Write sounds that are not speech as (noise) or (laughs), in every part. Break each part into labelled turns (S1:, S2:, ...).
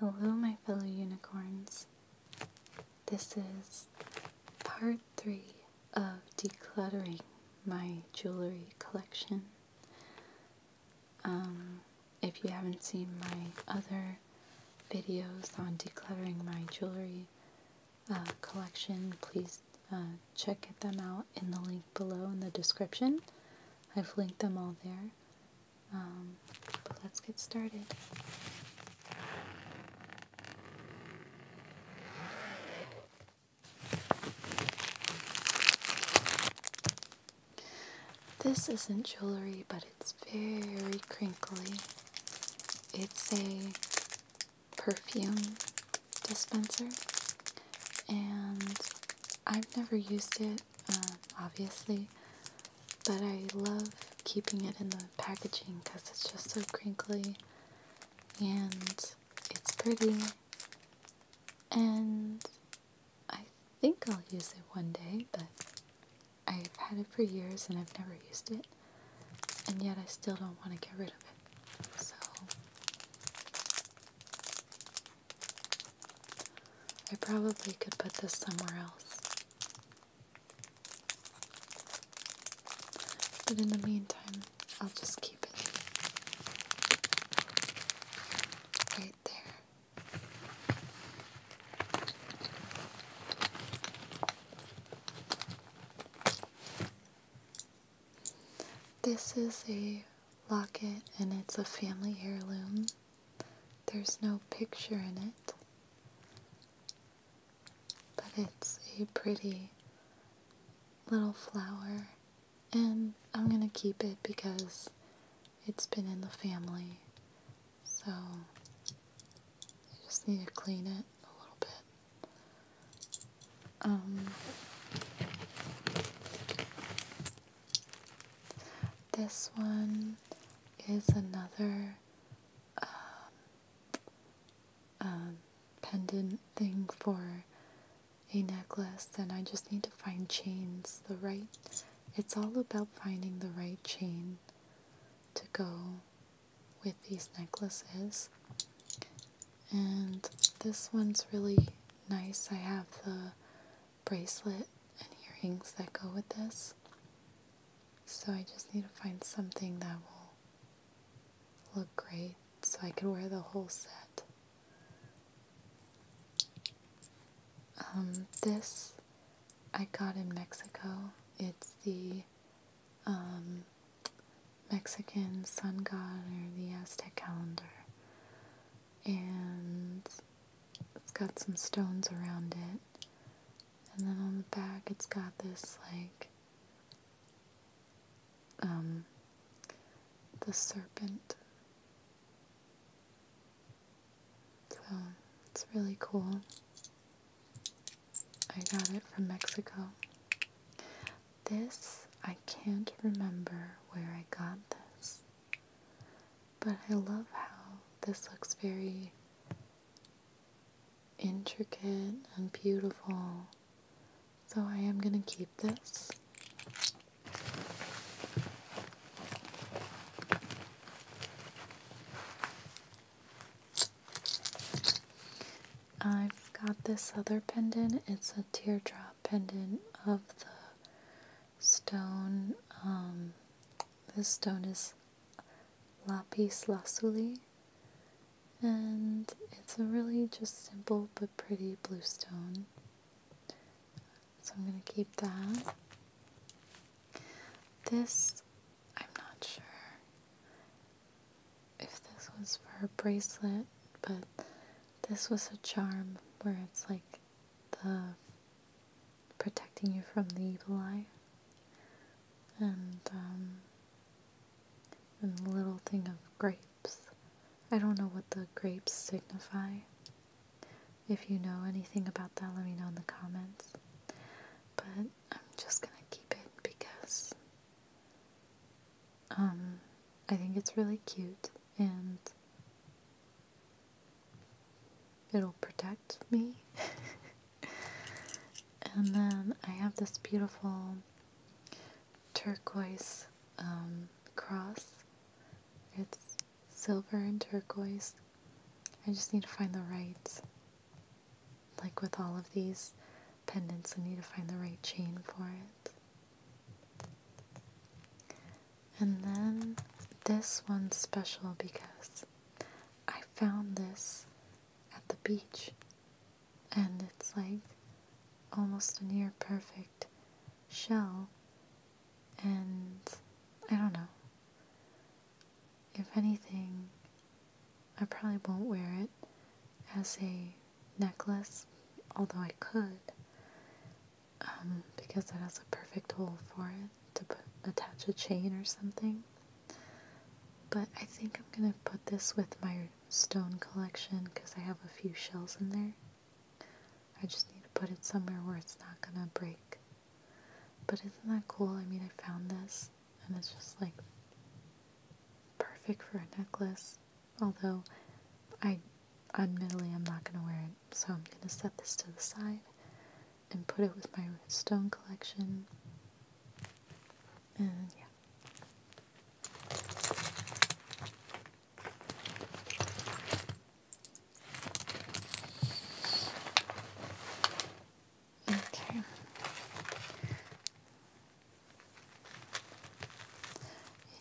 S1: Hello, my fellow unicorns. This is part three of decluttering my jewelry collection. Um, if you haven't seen my other videos on decluttering my jewelry uh, collection, please uh, check them out in the link below in the description. I've linked them all there. Um, let's get started. This isn't jewelry, but it's very crinkly. It's a perfume dispenser, and I've never used it, um, obviously, but I love keeping it in the packaging because it's just so crinkly and it's pretty. And I think I'll use it one day, but I've had it for years and I've never used it. And yet I still don't want to get rid of it. So I probably could put this somewhere else. But in the meantime, I'll just keep it right there. This is a locket and it's a family heirloom. There's no picture in it, but it's a pretty little flower, and I'm gonna keep it because it's been in the family, so I just need to clean it a little bit. Um, this one is another um, um, pendant thing for a necklace, and I just need to find chains. The right, it's all about finding the right chain to go with these necklaces. And this one's really nice. I have the bracelet and earrings that go with this. So I just need to find something that will look great so I can wear the whole set. Um, this I got in Mexico. It's the um, Mexican sun god or the Aztec calendar and it's got some stones around it. And then on the back, it's got this like um, the serpent. So it's really cool. I got it from Mexico. This, I can't remember where I got this. But I love how this looks very intricate and beautiful. So I am going to keep this. I've got this other pendant. It's a teardrop pendant of the stone. Um, this stone is lapis lazuli, and it's a really just simple but pretty blue stone. So I'm going to keep that. This, I'm not sure if this was for a bracelet, but this was a charm where it's like the protecting you from the evil eye and um, and the little thing of grapes. I don't know what the grapes signify. If you know anything about that, let me know in the comments. But I'm just gonna keep it because um, I think it's really cute and it'll protect me. (laughs) and then I have this beautiful turquoise um, cross. It's silver and turquoise. I just need to find the right, like with all of these pendants, I need to find the right chain for it. And then this one's special because I found this at the beach and it's like almost a near perfect shell and I don't know. If anything, I probably won't wear it as a necklace, although I could. Um, because it has a perfect hole for it to put, attach a chain or something. But I think I'm going to put this with my stone collection because I have a few shells in there. I just need to put it somewhere where it's not going to break. But isn't that cool? I mean, I found this and it's just like perfect for a necklace. Although I Admittedly, I'm not going to wear it, so I'm going to set this to the side and put it with my stone collection. And yeah. Okay.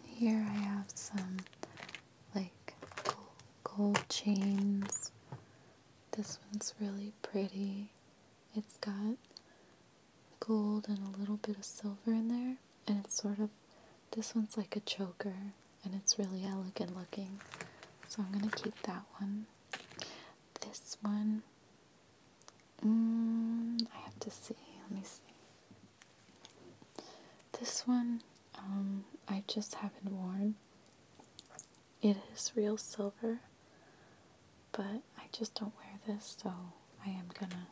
S1: And here I have some like gold chains. This one's really pretty. It's got gold and a little bit of silver in there, and it's sort of this one's like a choker, and it's really elegant looking. So I'm gonna keep that one. This one, mm, I have to see. Let me see. This one um, I just haven't worn. It is real silver, but I just don't wear this, so I am gonna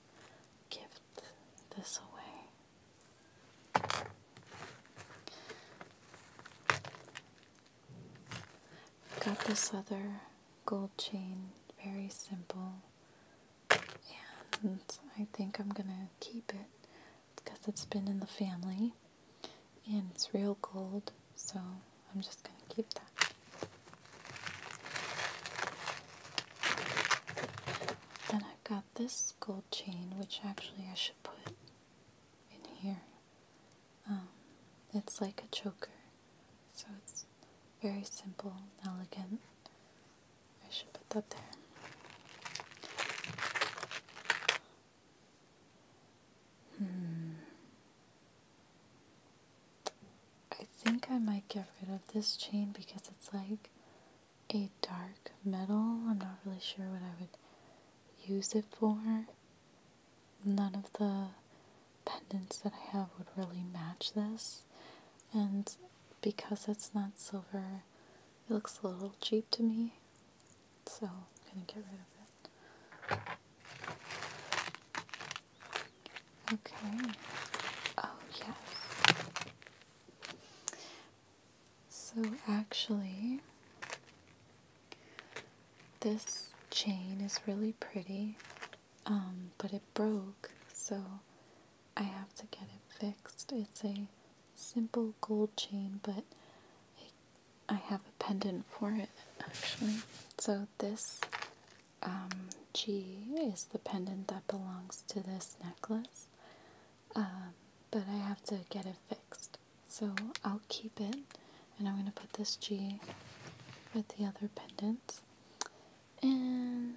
S1: gift this away. Got this other gold chain, very simple and I think I'm gonna keep it because it's been in the family and it's real gold so I'm just gonna keep that then I've got this gold chain which actually I should put in here um, it's like a choker so it's very simple elegant I should put that there. Hmm. I think I might get rid of this chain because it's like a dark metal. I'm not really sure what I would use it for. None of the pendants that I have would really match this. And because it's not silver, it looks a little cheap to me, so I'm going to get rid of it. Okay. Oh, yes. So, actually, this chain is really pretty, um, but it broke, so I have to get it fixed. It's a simple gold chain, but I have a pendant for it actually. So this um, G is the pendant that belongs to this necklace, um, but I have to get it fixed. So I'll keep it, and I'm going to put this G with the other pendants. And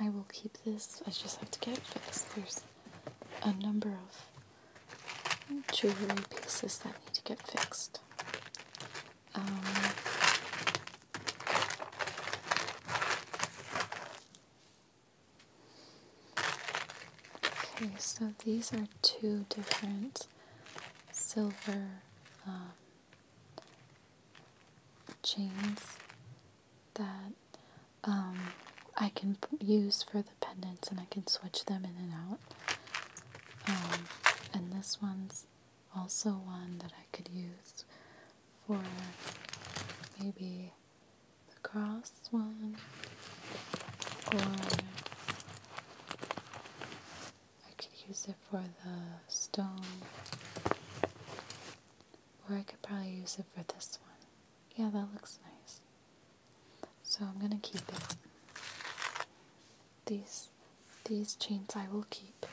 S1: I will keep this. I just have to get it fixed. There's a number of jewelry pieces that need to get fixed. Um, okay, so these are two different silver um, chains that um, I can use for the pendants and I can switch them in and out. Um, and this one's also one that I could use for maybe the cross one or I could use it for the stone or I could probably use it for this one. Yeah, that looks nice. So I'm gonna keep it. These these chains I will keep.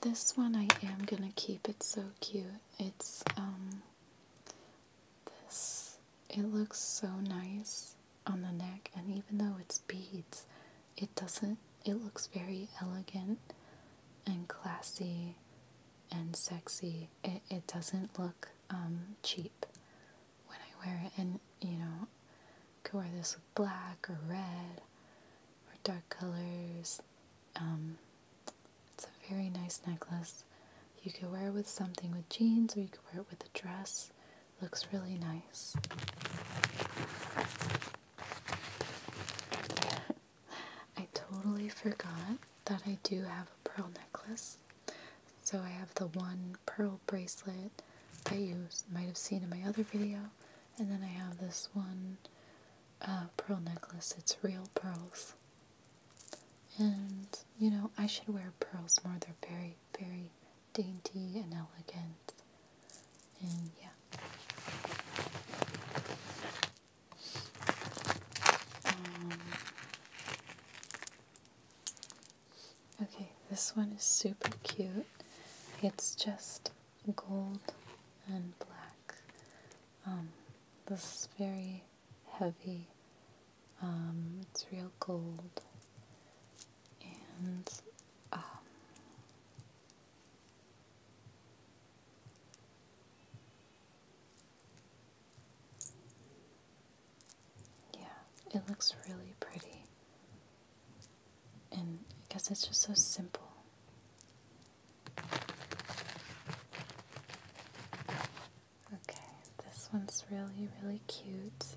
S1: This one I am gonna keep. It's so cute. It's um this, it looks so nice on the neck, and even though it's beads, it doesn't, it looks very elegant and classy and sexy. It, it doesn't look um, cheap when I wear it, and you know, could wear this with black or red or dark colors. Um, it's a very nice necklace. You could wear it with something with jeans or you could wear it with a dress. Looks really nice. (laughs) I totally forgot that I do have a pearl necklace. So I have the one pearl bracelet that you might have seen in my other video. And then I have this one uh, pearl necklace. It's real pearls. And, you know, I should wear pearls more. They're very, very dainty and elegant. And yeah. Um, okay, this one is super cute. It's just gold and black. Um, this is very heavy. Um, it's real cold, And um, yeah, it looks really pretty. And I guess it's just so simple. Okay, this one's really, really cute.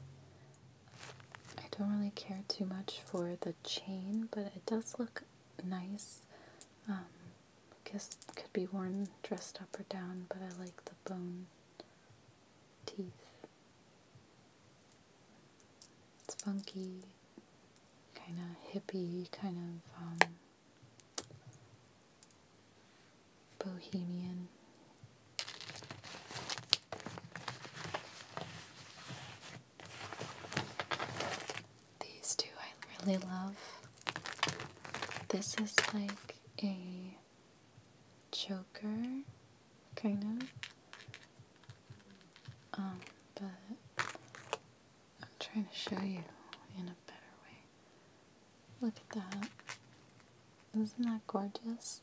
S1: I don't really care too much for the chain, but it does look nice. Um, I guess could be worn dressed up or down, but I like the bone teeth. It's funky, kind of hippie, kind of um, bohemian. These two I really love. This is like a choker, kind of. Um, but I'm trying to show you in a better way. Look at that. Isn't that gorgeous?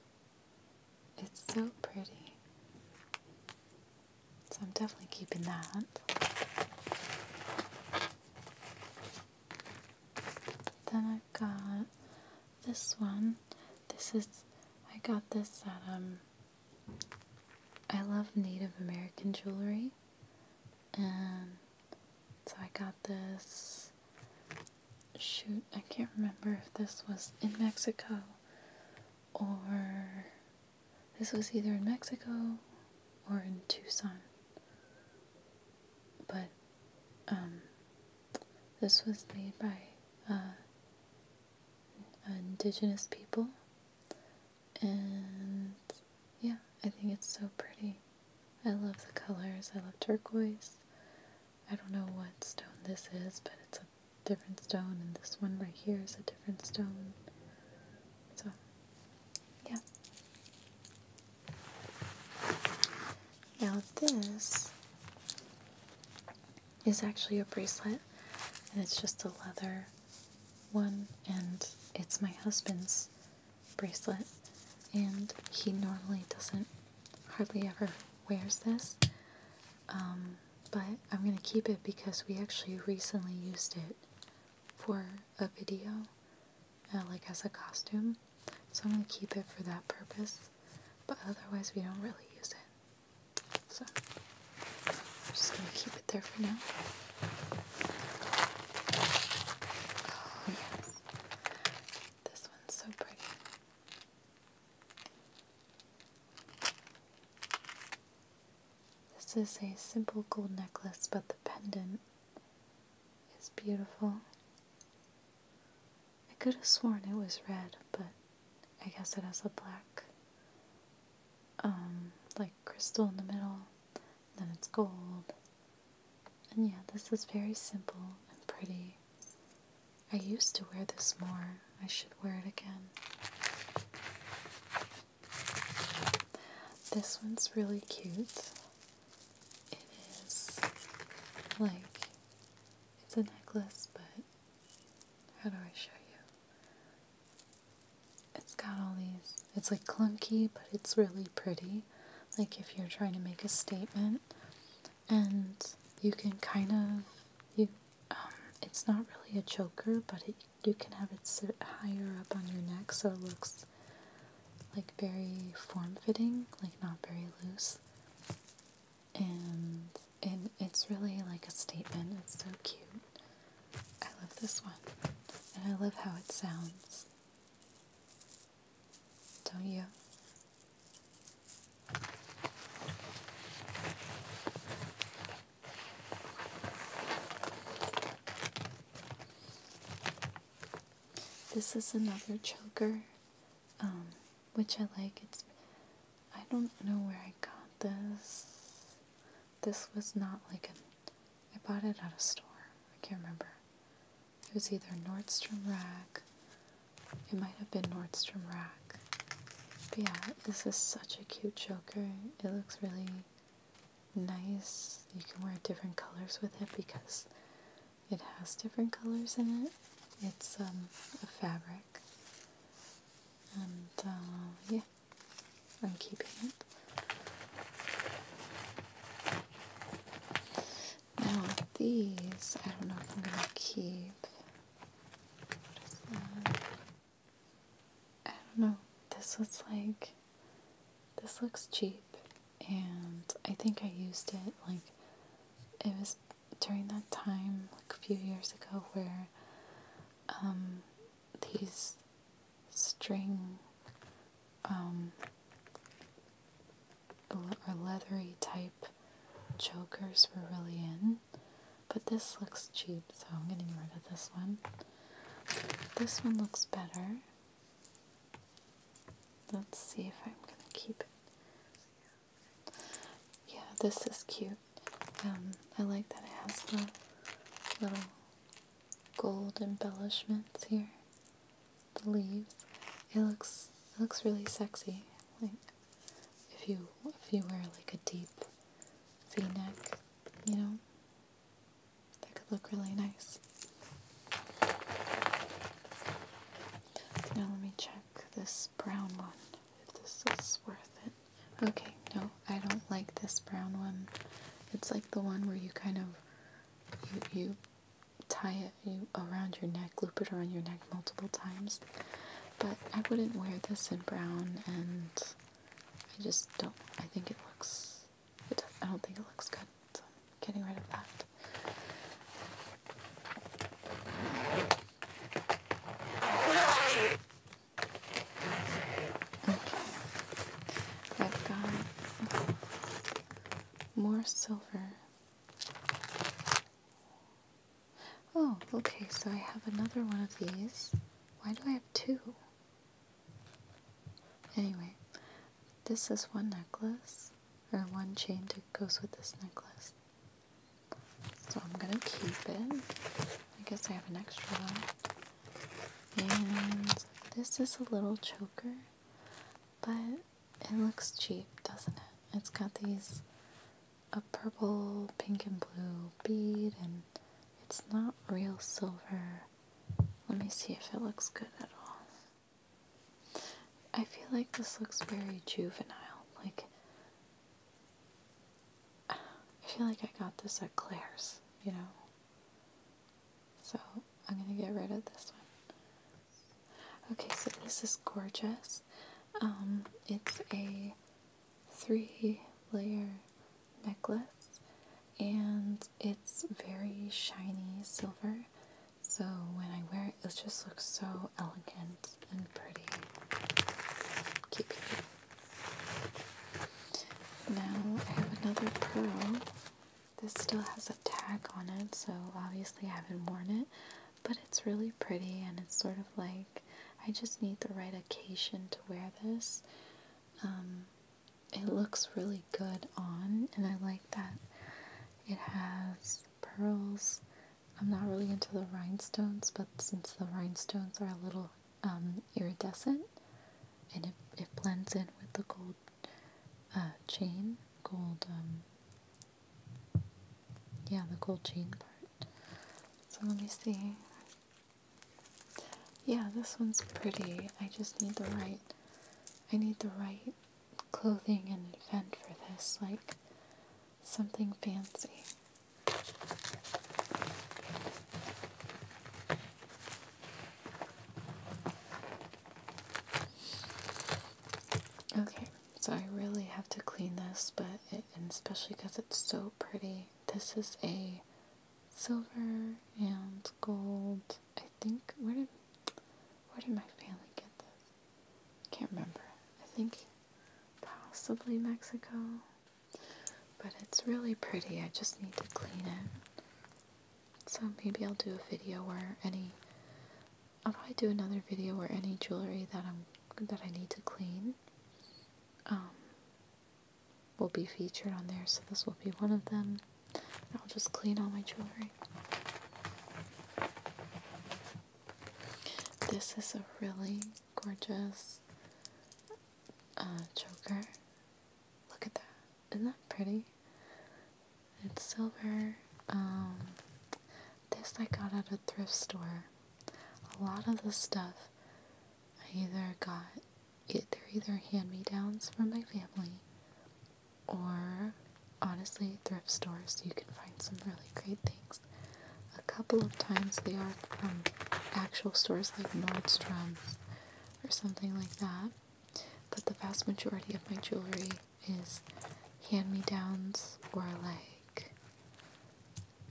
S1: It's so pretty. So I'm definitely keeping that. Then i got this one. This is, I got this at, um, I love Native American jewelry. And so I got this. Shoot, I can't remember if this was in Mexico or. This was either in Mexico or in Tucson. But, um, this was made by uh, indigenous people. And yeah, I think it's so pretty. I love the colors. I love turquoise. I don't know what stone this is, but it's a different stone, and this one right here is a different stone. So, yeah. Now, this is actually a bracelet, and it's just a leather one, and it's my husband's bracelet and he normally doesn't hardly ever wears this um, but I'm going to keep it because we actually recently used it for a video uh, like as a costume so I'm going to keep it for that purpose but otherwise we don't really use it so I'm just going to keep it there for now Oh, yes. This one's so pretty. This is a simple gold necklace, but the pendant is beautiful. I could have sworn it was red, but I guess it has a black, um, like crystal in the middle then it's gold. And yeah, this is very simple and pretty. I used to wear this more. I should wear it again. This one's really cute. It is like it's a necklace, but how do I show you? It's got all these, it's like clunky, but it's really pretty like if you're trying to make a statement and you can kind of you um, it's not really a choker but you can have it sit higher up on your neck so it looks like very form-fitting like not very loose and and it's really like a statement it's so cute I love this one and I love how it sounds don't you? This is another choker, um, which I like. It's I don't know where I got this. This was not like a I bought it at a store. I can't remember. It was either Nordstrom Rack. It might have been Nordstrom Rack. But yeah, this is such a cute choker. It looks really nice. You can wear different colors with it because it has different colors in it. It's um, a fabric. And uh, yeah, I'm keeping it. Now these, I don't know if I'm gonna keep. I don't know. This looks like this looks cheap and I think I used it like it was during that time like a few years ago where um these string um, or leathery type chokers were really in. But this looks cheap, so I'm getting rid of this one. This one looks better. Let's see if I'm gonna keep it. Yeah, this is cute. Um, I like that it has the little gold embellishments here. The leaves. It looks looks really sexy. Like if you if you wear like a deep V-neck, you know, that could look really nice. Now let me check this brown one. If this is worth it. Okay, no, I don't like this brown one. It's like the one where you kind of you, you tie it you around your neck, loop it around your neck multiple times. But I wouldn't wear this in brown, and I just don't. I think it looks. I don't think it looks good. So I'm getting rid of that. I've got more silver. Oh, okay, so I have another one of these. Why do I have two? Anyway, this is one necklace, or one chain that goes with this necklace. So I'm gonna keep it. I guess I have an extra one. And this is a little choker, but it looks cheap, doesn't it? It's got these a purple, pink, and blue bead, and it's not real silver. Let me see if it looks good at all. I feel like this looks very juvenile. Like, I feel like I got this at Claire's, you know? So I'm going to get rid of this one. Okay, so this is gorgeous. Um, it's a three layer necklace and it's very shiny silver. So when I wear it, it just looks so elegant and pretty. Keep now I have another pearl. This still has a tag on it, so obviously I haven't worn it, but it's really pretty and it's sort of like I just need the right occasion to wear this. Um, it looks really good on, and I like that it has pearls. I'm not really into the rhinestones, but since the rhinestones are a little um, iridescent, and it, it blends in with the gold uh, chain, gold, um, yeah, the gold chain part. So let me see. Yeah, this one's pretty. I just need the right, I need the right clothing and event for this, like something fancy. Okay, so I really have to clean this, but especially because it's so pretty. This is a silver and gold. I think where did where did my family get this? Can't remember. I think possibly Mexico. But it's really pretty. I just need to clean it. So maybe I'll do a video where any I'll do another video where any jewelry that I'm that I need to clean um, will be featured on there. So this will be one of them. I'll just clean all my jewelry. This is a really gorgeous uh, choker. Look at that. Isn't that pretty? It's silver. Um, this I got at a thrift store. A lot of the stuff I either got, they're either hand-me-downs from my family or honestly thrift stores you can find some really great things. A couple of times they are from actual stores like Nordstrom's or something like that. But the vast majority of my jewelry is hand me downs or like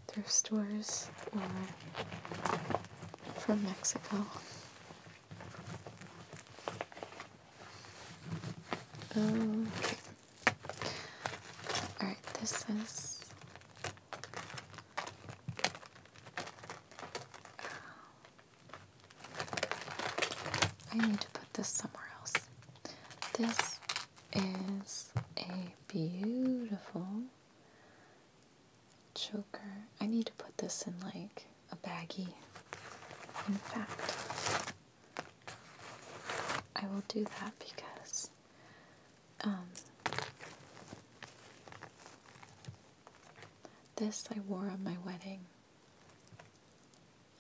S1: thrift stores or from Mexico. Okay. Alright, this is I need to put this somewhere else. This is a beautiful choker. I need to put this in like a baggie. In fact, I will do that because um, this I wore on my wedding.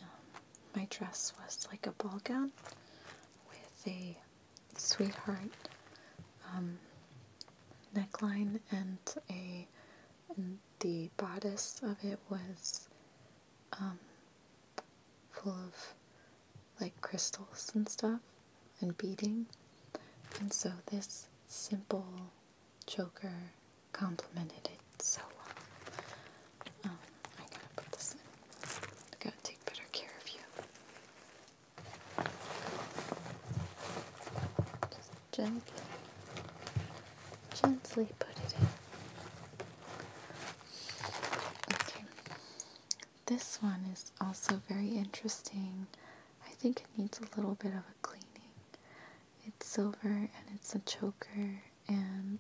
S1: Um, my dress was like a ball gown with a sweetheart um, neckline, and a the bodice of it was um, full of like crystals and stuff and beading. And so this simple choker complemented it so well. Um, I gotta put this in. gotta take better care of you. Just gently, gently put it in. Okay. This one is also very interesting. I think it needs a little bit of a cleaning. It's silver and it's a choker and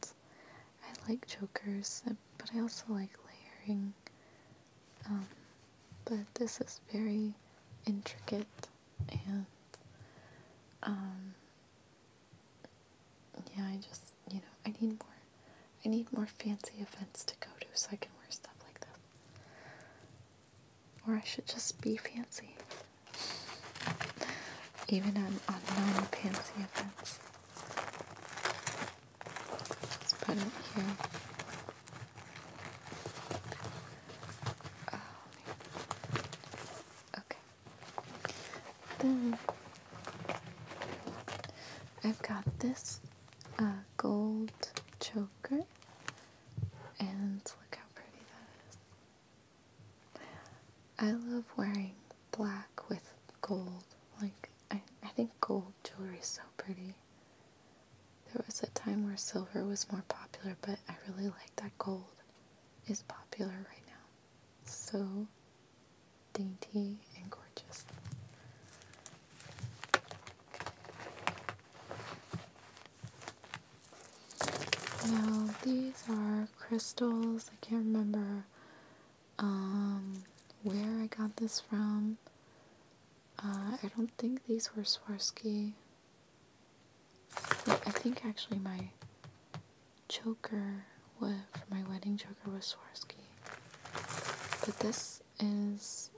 S1: I like chokers but I also like layering. Um, but this is very intricate and um, yeah I just you know I need more I need more fancy events to go to so I can wear stuff like this or I should just be fancy. Even on, a non fancy events. Just put it here. Oh, okay. Then I've got this uh, gold choker and look how pretty that is. I love wearing black with gold. Like, I, I think gold jewelry is so pretty. There was a time where silver was more popular, but I really like that gold is popular right now. So dainty and gorgeous. Now these are crystals. I can't remember um, where I got this from. Uh, I don't think these were Swarovski. I think actually my choker was, for my wedding choker was Swarovski. But this is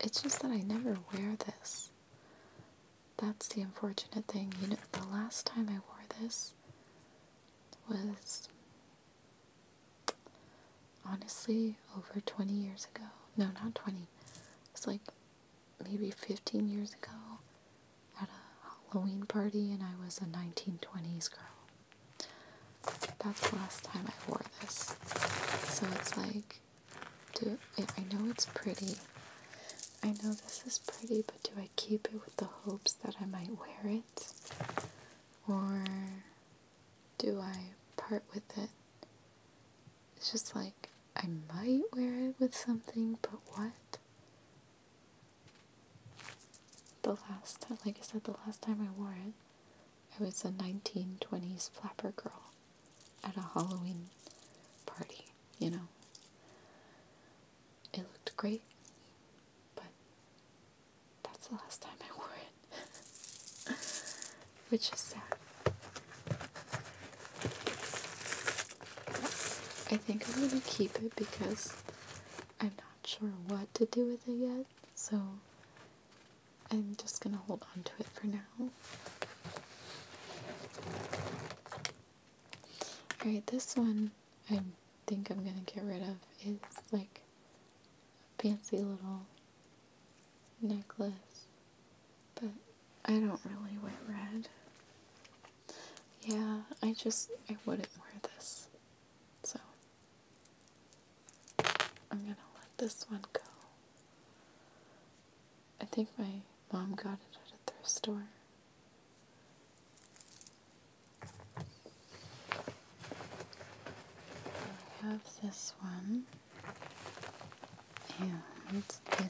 S1: it's just that I never wear this. That's the unfortunate thing. You know, the last time I wore this was honestly over 20 years ago. No, not 20. It's like maybe 15 years ago at a Halloween party, and I was a 1920s girl. That's the last time I wore this. So it's like, do I know it's pretty. I know this is pretty, but do I keep it with the hopes that I might wear it? Or do I part with it? It's just like, I might wear it with something, but what? The last time, like I said, the last time I wore it, I was a 1920s flapper girl at a Halloween party, you know. It looked great, but that's the last time I wore it, (laughs) which is sad. I think I'm gonna keep it because I'm not sure what to do with it yet, so I'm just going to hold on to it for now. Alright, this one I think I'm going to get rid of is like a fancy little necklace, but I don't really wear red. Yeah, I just, I wouldn't wear this, so I'm gonna let this one go. I think my mom got it at a thrift store. I have this one, and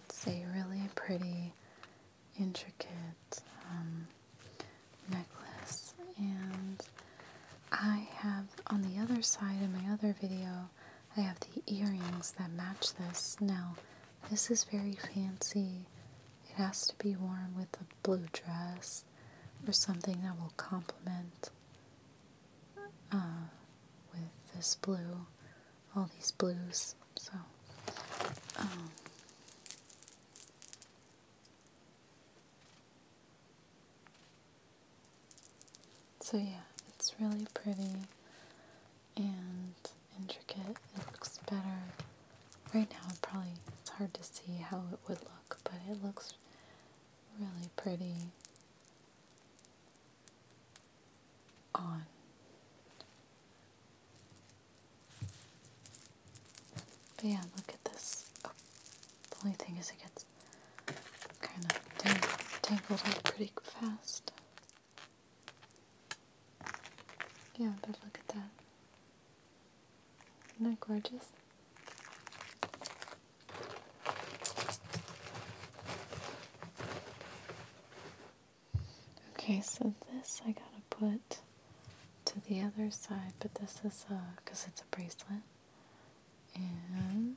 S1: it's a really pretty, intricate um, necklace, and I have on the other side of my other video, I have the earrings that match this. Now, this is very fancy. It has to be worn with a blue dress or something that will complement uh, with this blue, all these blues. So, um, so yeah, it's really pretty and intricate. It looks better. Right now probably it's hard to see how it would look, but it looks really pretty on. yeah, look at this. Oh, the only thing is it gets kind of tangled up pretty fast. Yeah, but look at that. Isn't that gorgeous? Okay, so this I gotta put to the other side, but this is a because it's a bracelet. And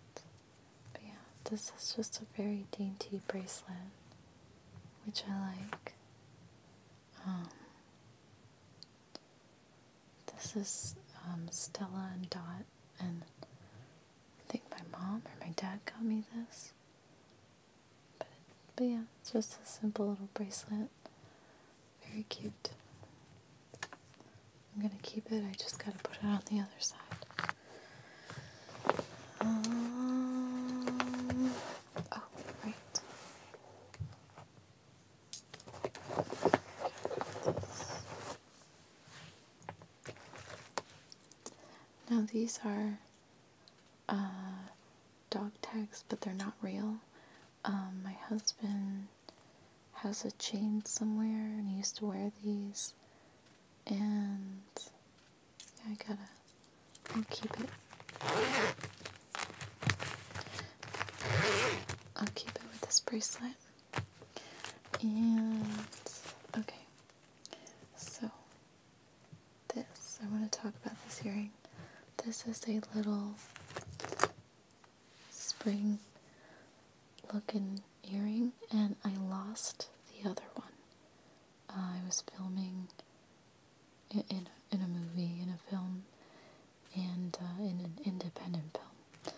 S1: but yeah, this is just a very dainty bracelet, which I like. Um, this is um, Stella and Dot, and I think my mom or my dad got me this. But, but yeah, it's just a simple little bracelet. Very cute. I'm gonna keep it, I just gotta put it on the other side. Um, oh, right. Now these are uh, dog tags, but they're not real. Um, my husband has a chain somewhere and he used to wear these. And I gotta, I'll keep it. I'll keep it with this bracelet. And, okay. So, this, I want to talk about this earring. This is a little spring looking earring and I lost the other one. Uh, I was filming in, in, a movie, in a film, and uh, in an independent film.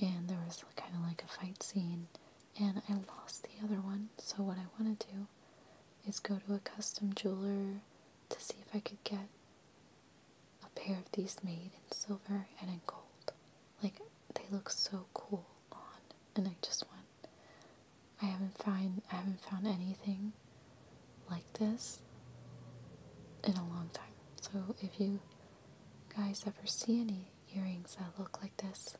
S1: And there was kind of like a fight scene and I lost the other one. So what I want to do is go to a custom jeweler to see if I could get a pair of these made in silver and in gold. Like, they look so cool on, and I just want. I haven't find I haven't found anything like this in a long time. So if you guys ever see any earrings that look like this,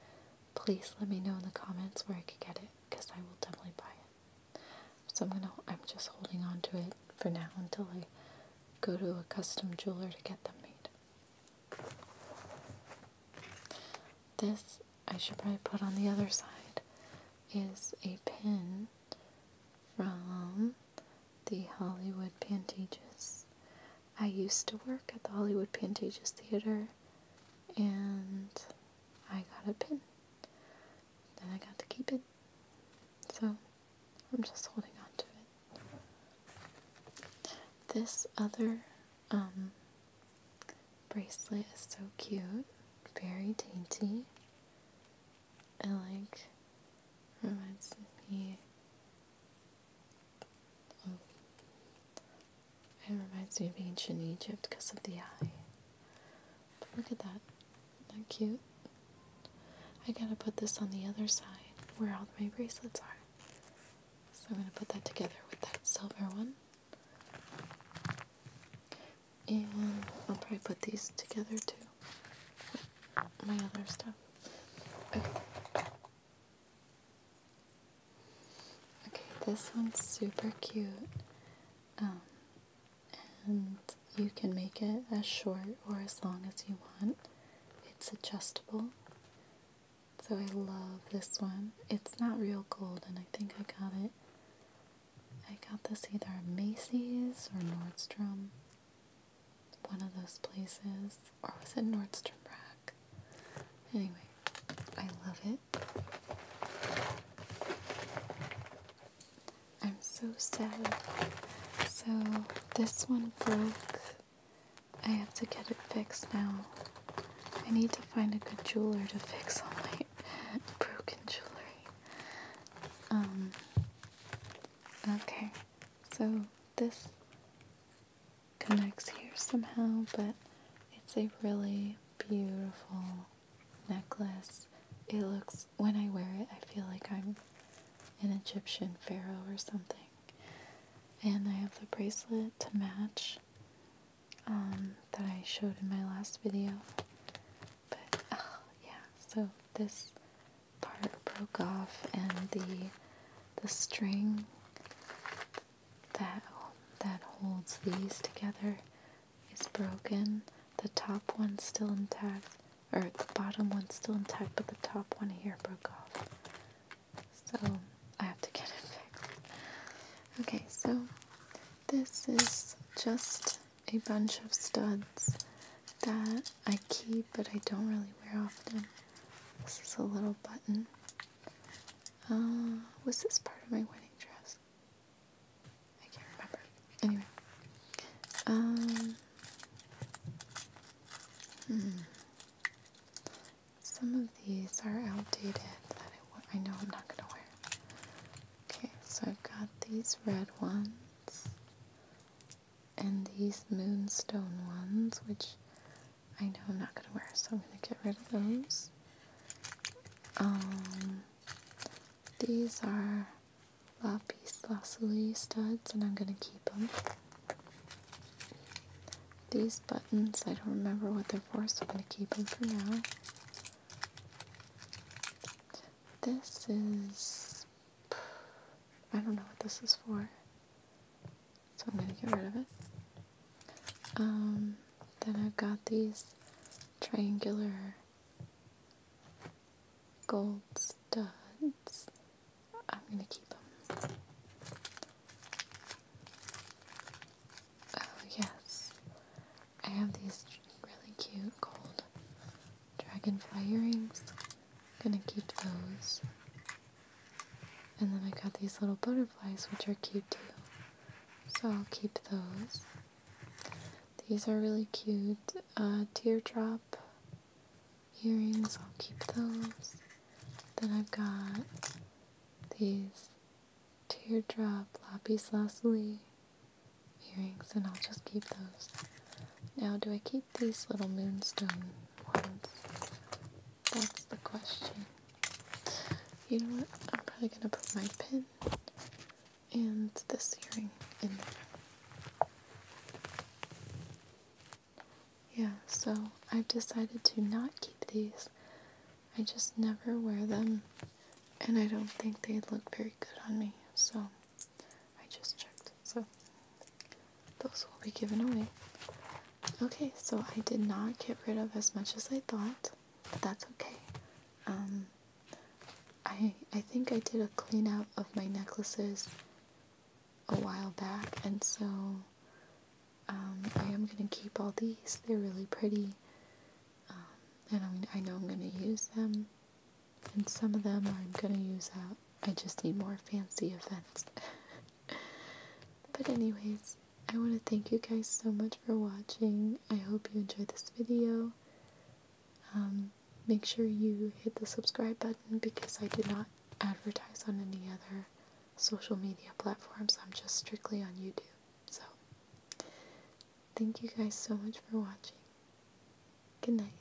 S1: please let me know in the comments where I could get it because I will definitely buy it. So I'm gonna I'm just holding on to it for now until I go to a custom jeweler to get them made. This, I should probably put on the other side, is a pin from the Hollywood Pantages. I used to work at the Hollywood Pantages Theater and I got a pin. Then I got to keep it. So I'm just holding on to it. This other um, bracelet is so cute, very dainty. It like reminds me of it reminds me of ancient Egypt because of the eye. But look at that they cute. I gotta put this on the other side where all my bracelets are. So I'm gonna put that together with that silver one. And I'll probably put these together too with my other stuff. Okay. Okay, this one's super cute. Um, and you can make it as short or as long as you want. It's adjustable. So I love this one. It's not real gold and I think I got it. I got this either at Macy's or Nordstrom. One of those places. Or was it Nordstrom Rack? Anyway, I love it. I'm so sad. So, this one broke. I have to get it fixed now. I need to find a good jeweler to fix all my (laughs) broken jewelry. Um, okay, so this connects here somehow, but it's a really beautiful necklace. It looks, when I wear it, I feel like I'm an Egyptian pharaoh or something. And I have the bracelet to match um, that I showed in my last video. But, oh, yeah, so this part broke off and the, the string that, that holds these together is broken. The top one's still intact or the bottom one's still intact, but the top one here broke off. So I have to get it fixed. Okay, so this is just a bunch of studs that I keep, but I don't really wear often. This is a little button. Uh, was this part of my wedding dress? I can't remember. Anyway. Um, hmm. Some of these are outdated that I, I know I'm not going to wear. Okay, so I've got these red ones and these moonstone ones, which I know I'm not going to wear, so I'm going to get rid of those. Um, these are lapis lazuli studs and I'm going to keep them. These buttons, I don't remember what they're for, so I'm going to keep them for now. This is... I don't know what this is for, so I'm going to get rid of it. Um, then I've got these triangular gold studs. I'm going to keep them. Oh, yes. I have these really cute gold dragonfly earrings. I'm going to keep those. And then I got these little butterflies, which are cute too. So I'll keep those. These are really cute. Uh, teardrop earrings, I'll keep those. Then I've got these teardrop lapis lazuli earrings, and I'll just keep those. Now, do I keep these little moonstone ones? That's the question. You know what? I'm probably gonna put my pin and this earring in there. Yeah, so I've decided to not keep these. I just never wear them, and I don't think they look very good on me, so I just checked. So those will be given away. Okay, so I did not get rid of as much as I thought. but That's okay. Um, I I think I did a clean out of my necklaces a while back, and so um, I am gonna keep all these. They're really pretty, um, and i I know I'm gonna use them. And some of them I'm gonna use out. I just need more fancy events. (laughs) but anyways, I want to thank you guys so much for watching. I hope you enjoyed this video. Um, make sure you hit the subscribe button because I do not advertise on any other social media platforms. I'm just strictly on YouTube. So, thank you guys so much for watching. Good night.